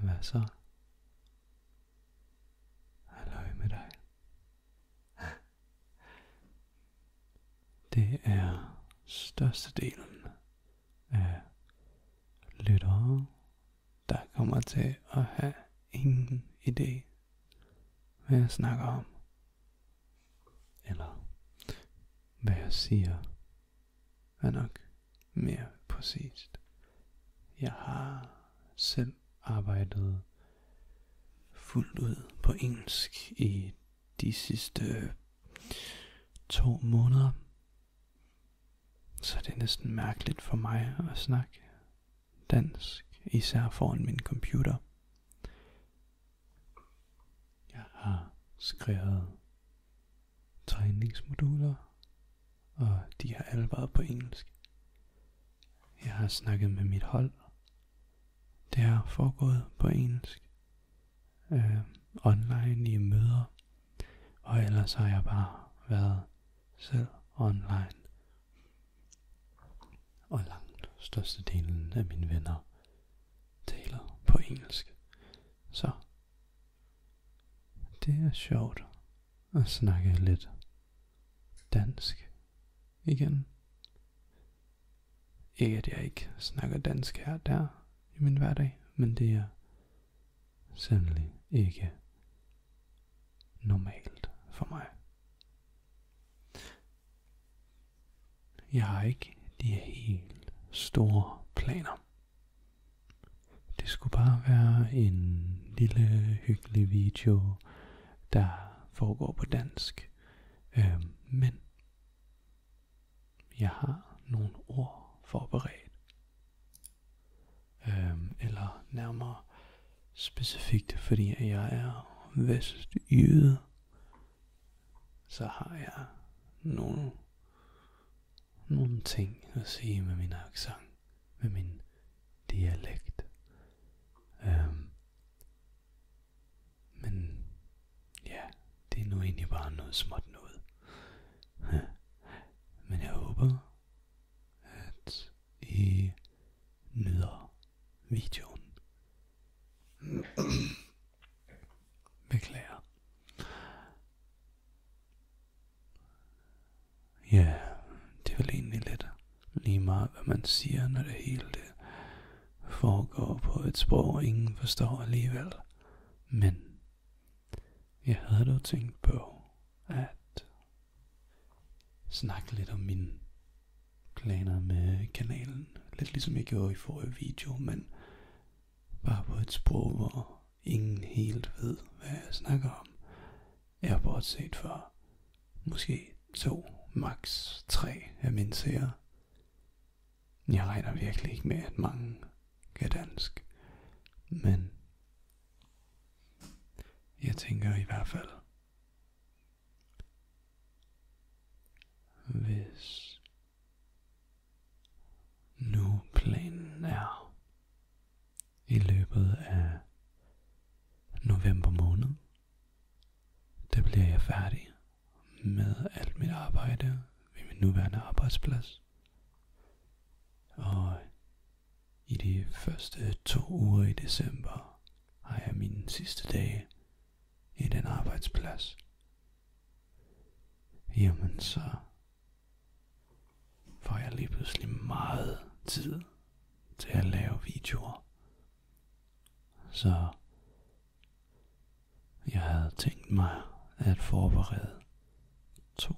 Hvad så? Halløj med dig. Det er størstedelen af lyttere, der kommer til at have ingen idé, hvad jeg snakker om. Eller hvad jeg siger er nok mere præcist. Jeg har selv arbejdet fuldt ud på engelsk i de sidste to måneder. Så det er næsten mærkeligt for mig at snakke dansk, især foran min computer. Jeg har skrevet træningsmoduler, og de har alle været på engelsk. Jeg har snakket med mit hold. Det har foregået på engelsk. Øh, online i møder. Og ellers har jeg bare været selv online. Og langt størstedelen af mine venner taler på engelsk. Så det er sjovt at snakke lidt dansk igen. Ikke at jeg ikke snakker dansk her og der i min hverdag, men det er sandelig ikke normalt for mig. Jeg har ikke de helt store planer det skulle bare være en lille hyggelig video, der foregår på dansk. Øh, men jeg har nogle ord forberedt. Øh, eller nærmere specifikt, fordi jeg er vestjyde, så har jeg nogle nogle ting at sige med min accent, med min dialekt. Um, men ja, det er nu egentlig bare noget småt noget. Men jeg håber, at I nyder videoen. Beklager. Ja, det er vel egentlig lidt lige meget, hvad man siger, når det hele det foregår på et sprog, ingen forstår alligevel. Men jeg havde dog tænkt på at snakke lidt om mine planer med kanalen. Lidt ligesom jeg gjorde i forrige video, men bare på et sprog, hvor ingen helt ved, hvad jeg snakker om, er bortset for måske to, max tre af mine seere. Jeg regner virkelig ikke med, at mange kan dansk, men jeg tænker i hvert fald, hvis nu planen er i løbet af november måned, der bliver jeg færdig med alt mit arbejde ved min nuværende arbejdsplads. Og i de første to uger i december har jeg mine sidste dag i den arbejdsplads. Jamen så får jeg lige pludselig meget tid til at lave videoer. Så jeg havde tænkt mig at forberede to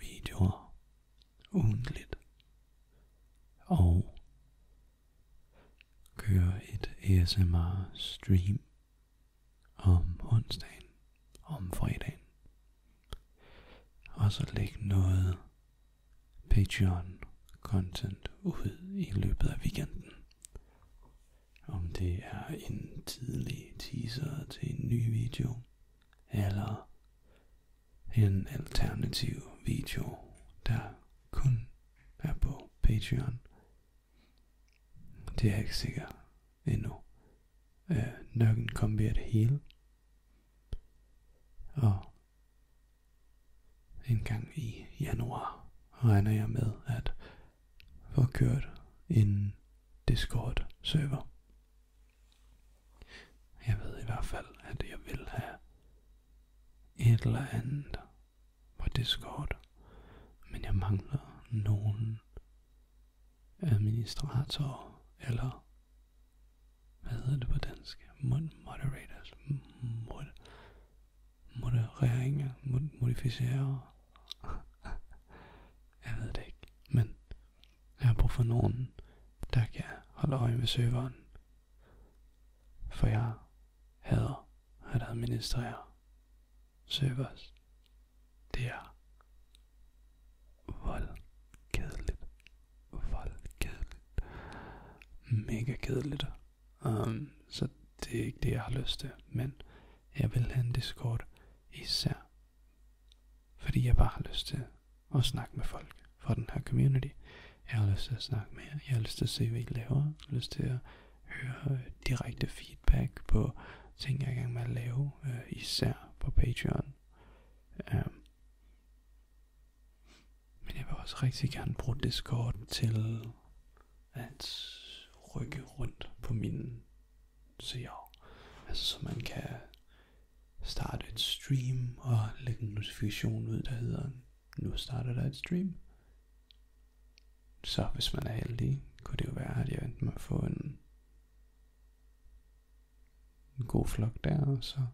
videoer ugentligt og køre et ASMR stream om onsdagen, om fredagen. Og så lægge noget Patreon-content ud i løbet af weekenden. Om det er en tidlig teaser til en ny video, eller en alternativ video, der kun er på Patreon. Det er ikke sikker you know, øh, nøkken kom ved at hele. Og en gang i januar regner jeg med at få kørt en Discord server. Jeg ved i hvert fald, at jeg vil have et eller andet på Discord, men jeg mangler nogen administrator, eller hvad hedder det på dansk? Moderators, mod, modereringer, mod, modificerer. jeg ved det ikke, men jeg har brug for nogen, der kan holde øje med serveren. For jeg hader at administrere servers. Det er voldkedeligt. Voldkedeligt. Mega kedeligt. Um, så det er ikke det, jeg har lyst til. Men jeg vil have en Discord især. Fordi jeg bare har lyst til at snakke med folk fra den her community. Jeg har lyst til at snakke med jer. Jeg har lyst til at se, hvad I laver. Jeg har lyst til at høre direkte feedback på ting, jeg er i gang med at lave, øh, især på Patreon. Øh. Men jeg vil også rigtig gerne bruge Discord til at rykke rundt på min seer. Altså så man kan starte et stream og lægge en notifikation ud, der hedder, nu starter der et stream. Så hvis man er heldig, kunne det jo være, at jeg endte få en en god flok der, og så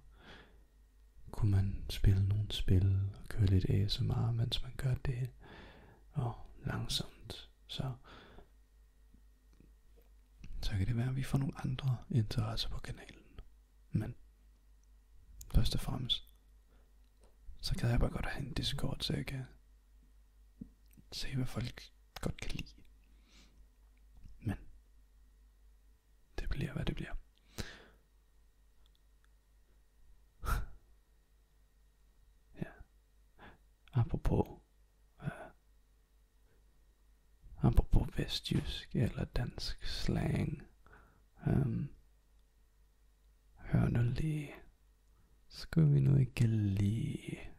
kunne man spille nogle spil og køre lidt ASMR, mens man gør det, og langsomt, så så kan det være, at vi får nogle andre interesser på kanalen. Men først og fremmest, så kan jeg bare godt have en Discord, så jeg kan se, hvad folk godt kan lide. Men det bliver, hvad det bliver. ja. Apropos øh, apropos vestjysk eller dansk slang. Um, hør nu lige. Skulle vi nu ikke lige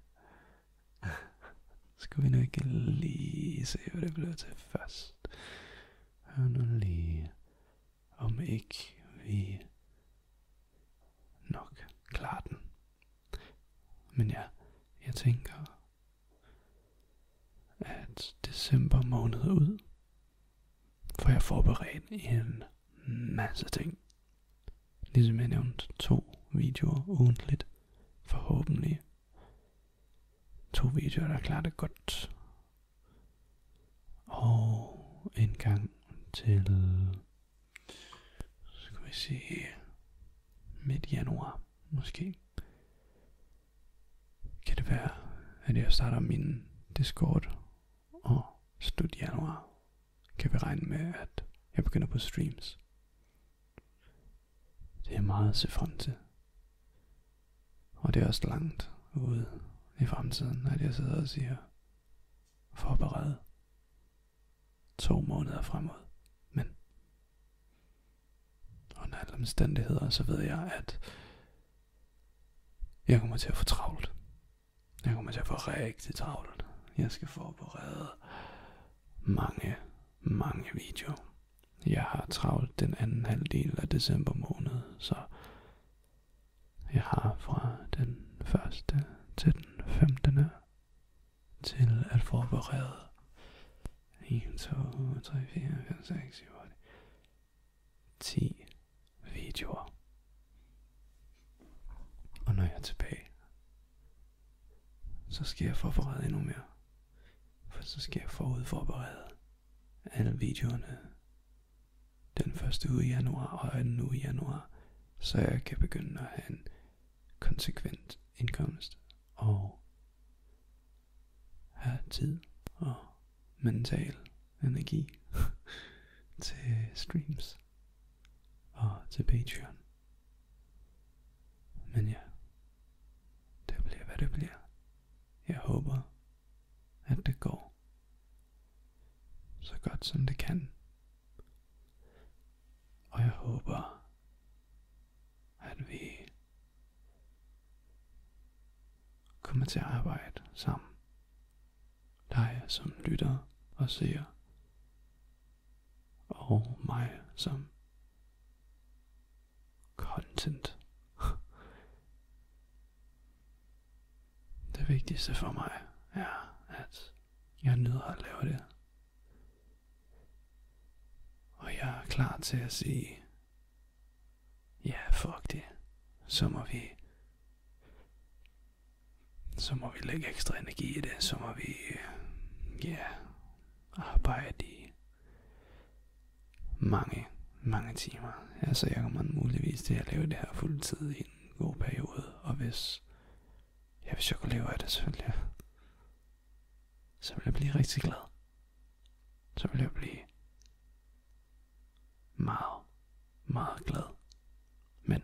Skal vi nu ikke lige se, hvad det bliver til først? Hør nu lige, om ikke vi nok klarer den. Men ja, jeg tænker, at december måned ud, for jeg forberedt en masse ting. Ligesom jeg nævnte to videoer ugentligt, forhåbentlig. To videoer, der klarer det godt. Og en gang til, skal vi se. midt januar måske. Kan det være, at jeg starter min Discord og slut januar kan vi regne med, at jeg begynder på streams. Det er meget at se frem til. Og det er også langt ude i fremtiden, at jeg sidder og siger, forbered to måneder fremad. Men under alle omstændigheder, så ved jeg, at jeg kommer til at få travlt. Jeg kommer til at få rigtig travlt. Jeg skal forberede mange, mange videoer. Jeg har travlt den anden halvdel af december måned, så jeg har fra den 1. til den 15. til at forberede 1, 2, 3, 4, 5, 6, 7, 8, 10 videoer. Og når jeg er tilbage, så skal jeg forberede endnu mere. For så skal jeg forberede alle videoerne den første uge i januar og den uge i januar, så jeg kan begynde at have en konsekvent indkomst og have tid og mental energi til streams og til Patreon. Men ja, det bliver hvad det bliver. Jeg håber, at det går så godt som det kan. Og jeg håber, at vi kommer til at arbejde sammen. Dig som lytter og ser og mig som content. Det vigtigste for mig er, at jeg nyder at lave det. Og jeg er klar til at sige, ja, fuck det. Så må vi så må vi lægge ekstra energi i det, så må vi, øh, ja, arbejde i mange, mange timer. så altså, jeg kan muligvis til at lave det her fuldtid i en god periode, og hvis, ja, hvis jeg kunne leve af det, så ville jeg, så ville jeg blive rigtig glad. Så ville jeg blive meget, meget glad. Men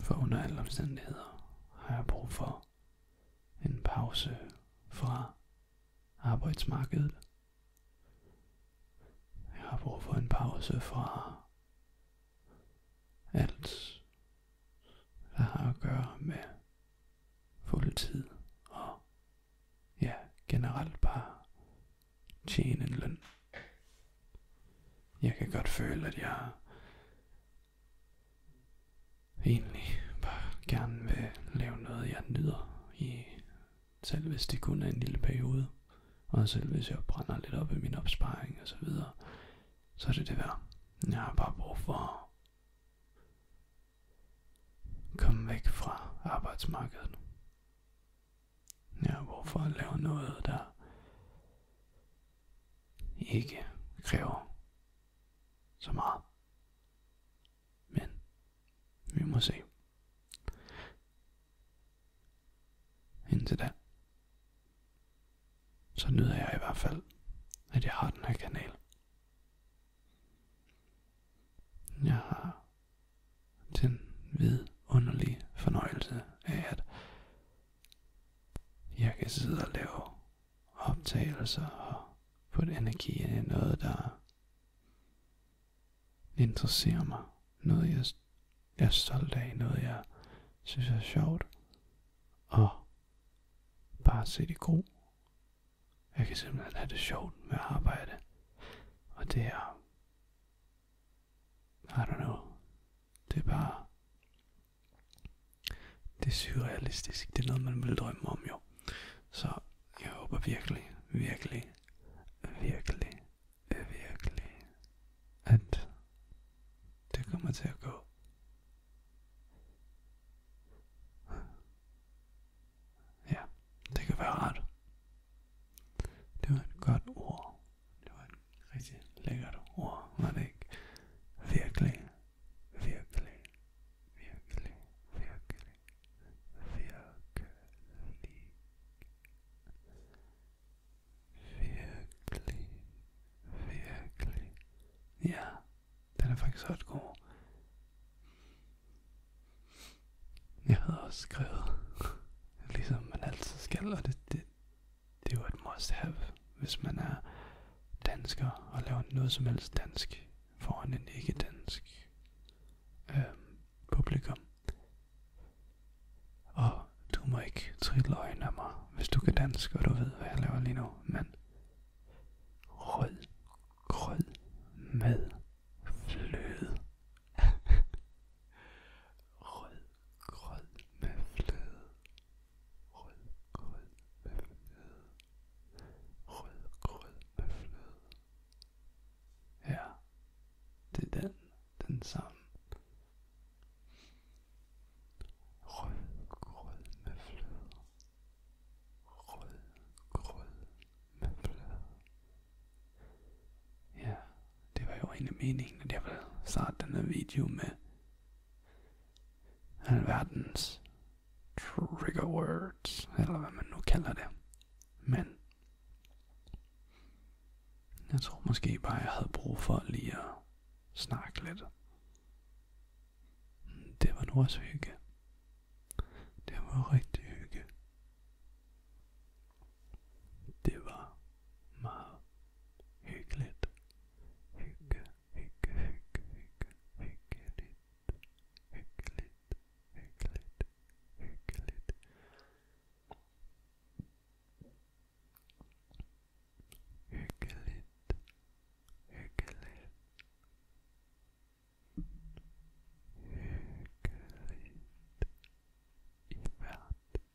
For under alle omstændigheder har jeg brug for en pause fra arbejdsmarkedet. Jeg har brug for en pause fra alt, der har at gøre med fuld tid og ja, generelt bare tjene en løn. Jeg kan godt føle, at jeg egentlig bare gerne vil lave noget, jeg nyder i, selv hvis det kun er en lille periode, og selv hvis jeg brænder lidt op i min opsparing og så videre, så er det det værd. Jeg har bare brug for at komme væk fra arbejdsmarkedet. Jeg har brug for at lave noget, der ikke kræver så meget. Men vi må se. Indtil da, så nyder jeg i hvert fald, at jeg har den her kanal. Jeg har den vidunderlige fornøjelse af at jeg kan sidde og lave optagelser og putte energi ind i noget, der interesserer mig. Noget, jeg, jeg er stolt af. Noget, jeg synes er sjovt. Og bare se det gro. Jeg kan simpelthen have det sjovt med at arbejde. Og det er... I don't know. Det er bare det er surrealistisk. Det er noget, man ville drømme om jo. Så jeg håber virkelig, virkelig, virkelig, virkelig, at det kommer til at gå. Ja, det kan være rart. Det var godt ord. Det var et rigtig ikke? Virkelig, virkelig, virkelig, virkelig, virkelig, virkelig, Ja, den er faktisk ret god. Jeg havde også skrevet, ligesom man altid skal, og det, det, det er jo et must have, hvis man er dansker og laver noget som helst dansk foran en ikke-dansk øh, publikum. Og du må ikke trille øjnene af mig, hvis du kan dansk, og du ved, hvad jeg laver lige nu, men rød med fløde. rød grød med fløde rødgrød med fløde, rødgrød med fløde. Ja, det er den, den samme. Rødgrød med fløde, rødgrød med fløde. Ja, det var jo egentlig meningen, at jeg ville starte den her video med Alverdens trigger words, eller hvad man nu kalder det. Men jeg tror måske bare, jeg havde brug for lige at snakke lidt. Det var nu også hygge. Det var rigtig hygge. Det var meget hyggeligt hygge, hygge, hygge, hygge, hyggeligt, hyggeligt, hyggeligt, hyggeligt. Hyggeligt, hyggeligt, hyggeligt i hvert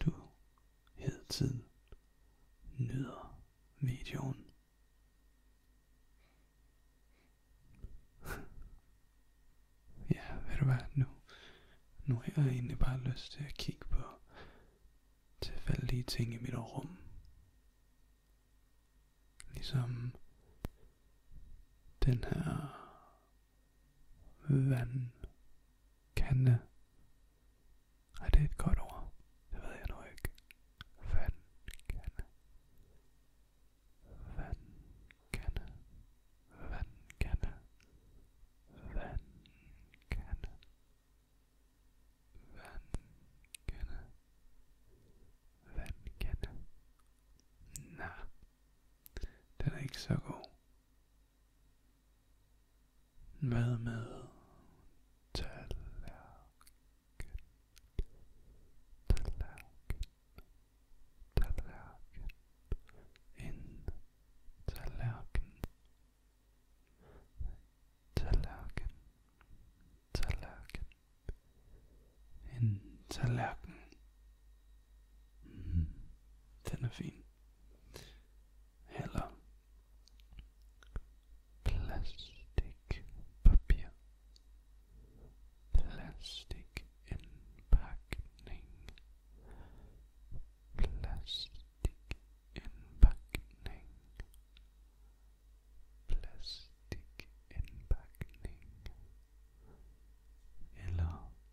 du hele tiden nyder videoen. ja, ved du hvad, nu, nu har jeg egentlig bare lyst til at kigge på tilfældige ting i mit rum. Ligesom den her Vandkande. Er det et godt ord? Det ved jeg nu ikke. Vandkande. Vandkande. Vandkande. Vandkande. Vandkande. Vandkande. Nå. Den er ikke så god. Hvad med tallerken? Tallerken. Tallerken. En tallerken. Tallerken. Tallerken. En tallerken. Den er fin. Hello. Plastic papier. Plastic impacting. Plastic impacting. Plastic impacting. Hello.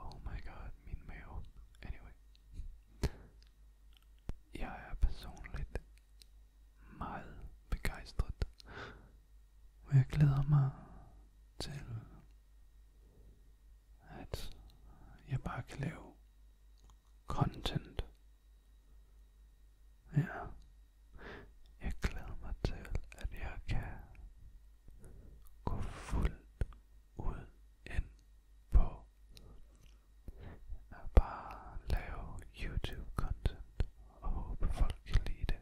Oh my god, min mave. Anyway. Jeg personligt meget begejstret. jeg glæder mig til, at jeg bare kan lave content. Ja. Jeg glæder mig til, at jeg kan Gå fuldt ud ind på at bare lave YouTube-content og håbe folk kan lide det.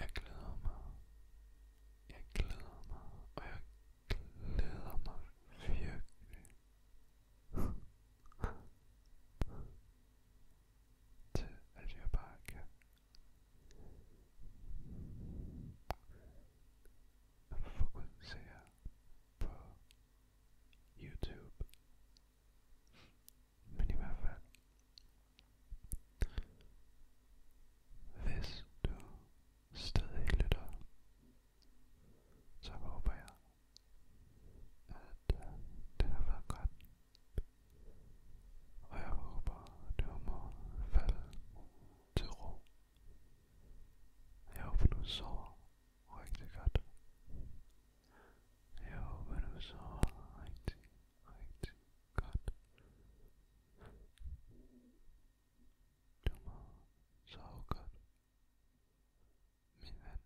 Jeg glæder mig. Jeg glæder mig. Og jeg glæder mig virkelig. til at jeg bare kan fokusere på YouTube. Men i hvert fald, hvis du stadig lytter, så håber jeg, at det har været godt og jeg håber, du må falde til ro. Jeg håber, du sover rigtig godt. Jeg håber, du sover rigtig, rigtig godt. Du må sove godt, min ven.